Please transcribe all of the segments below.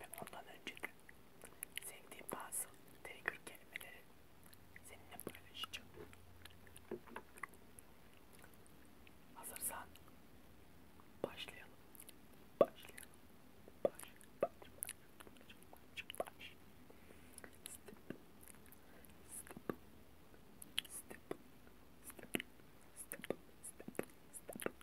ve ondan önceki sevdiğim bazı trigger kelimeleri seninle paylaşacağım. Hazırsan başlayalım. Başlayalım. Baş, baş, baş, baş. Step, step, step, step, step, step, step, step.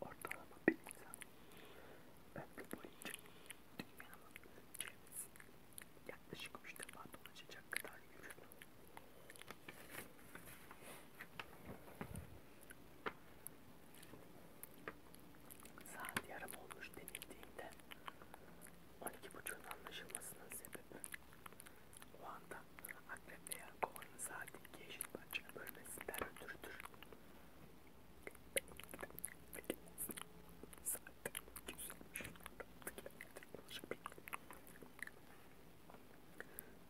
Ortalama bir insan ömrü boyunca dünyanın çevresini yaklaşık üç defa dolaşacak kadar yürür. Saat yarım olmuş denildiğinde 12.30'un anlaşılmasının sebebi o anda akrep veya kovanın saat 2 eşit parçaya bölmesinden ötürüdür. Saat 2.30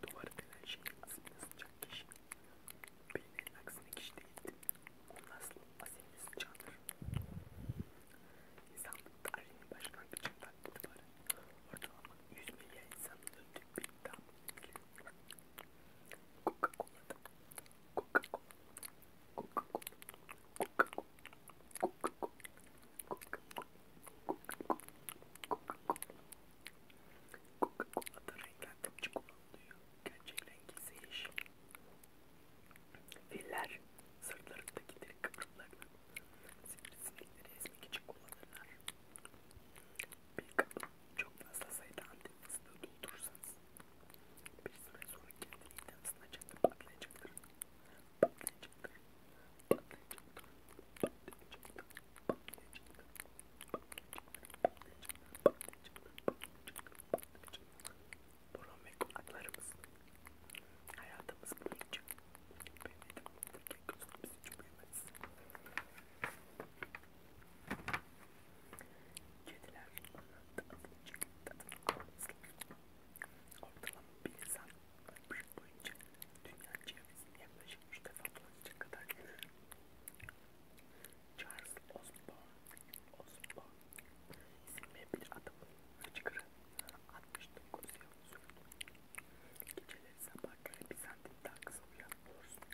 Duvarı denen şey aslında olacak kişi. Bilmenin aksine kişi değildi. Onun aslı asilimiz candır. İnsanlık tarihinin başlangıcından itibaren ortalama 100 milyar insanın öldüğü bir idam Coca-Cola'da Coca-Cola Coca-Cola Coca-Cola Coca-Cola Coca-Cola Coca-Cola Coca-Cola Coca-Cola'da renklendirme kullanılıyor. Gerçek renk ise yeşil. Filler sırtlarındaki deri kıvrımlarını sivrisinekleri ezmek için kullanırlar. Bir kabı çok fazla sayıda antik fıstığı doldurursanız bir süre sonra kendi midem ısınacaktır, patlayacaktır. Patlayacaktır, patlayacaktır. Burun ve kulaklarımız hayatımız boyunca Kediler onların tadını almamız lazım. Ortalama bir insan 60 boyunca dünya çevresini yaklaşık 3 defa dolanacak kadar ünlü. Charles Osborne, Osborne isimli bir adamın hıçkırı 69 yıl sürdü. Geceleri sabahları bir santim daha kısa uyanmıyorsun.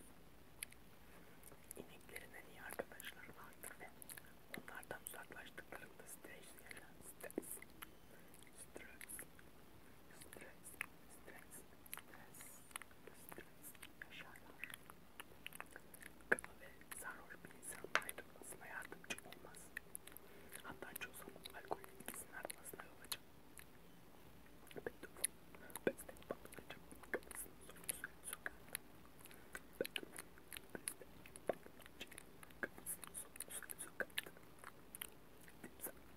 İneklerin en iyi arkadaşları vardır ve onlardan uzaklaştıklarında stres, stres, stres stres, stres, stres, stres yaşarlar. Kaba ve sarhoş bir insan ayrılmasına yardımcı olmaz. Hatta çoğu zaman alkolün etkisinin artmasına yol açar. Beethoven, bestek patlayacak kapısını sorusunu sokar. Beethoven, bestek patlayacak kapısını sorusunu sokar. Timsah,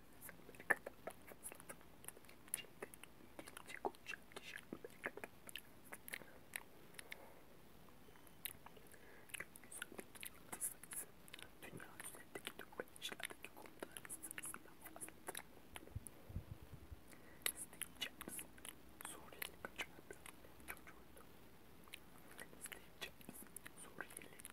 Dünya üzerindeki tüm işlerdeki konuları sırasında bahsettim. Steve Jobs, Suriyeli kaçırdı. Çocuğuydu. Steve Jobs, Suriyeli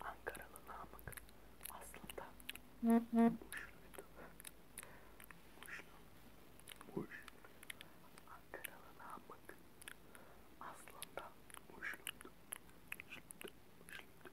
Ankaralı Namık aslında boşluydu. Boşlu. Boş. Ankaralı Namık aslında boşluydu. Boşluydu. Boşluydu.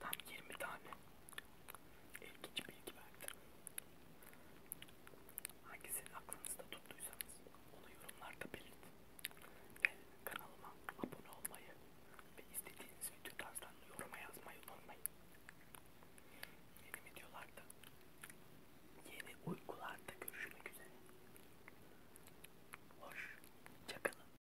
Tam 20 tane ilginç bilgi verdi. Hangisini aklınızda tuttuysanız onu yorumlarda belirtin. Ve kanalıma abone olmayı ve istediğiniz video tarzlarını yoruma yazmayı unutmayın. Yeni videolarda, yeni uykularda görüşmek üzere. Hoşçakalın.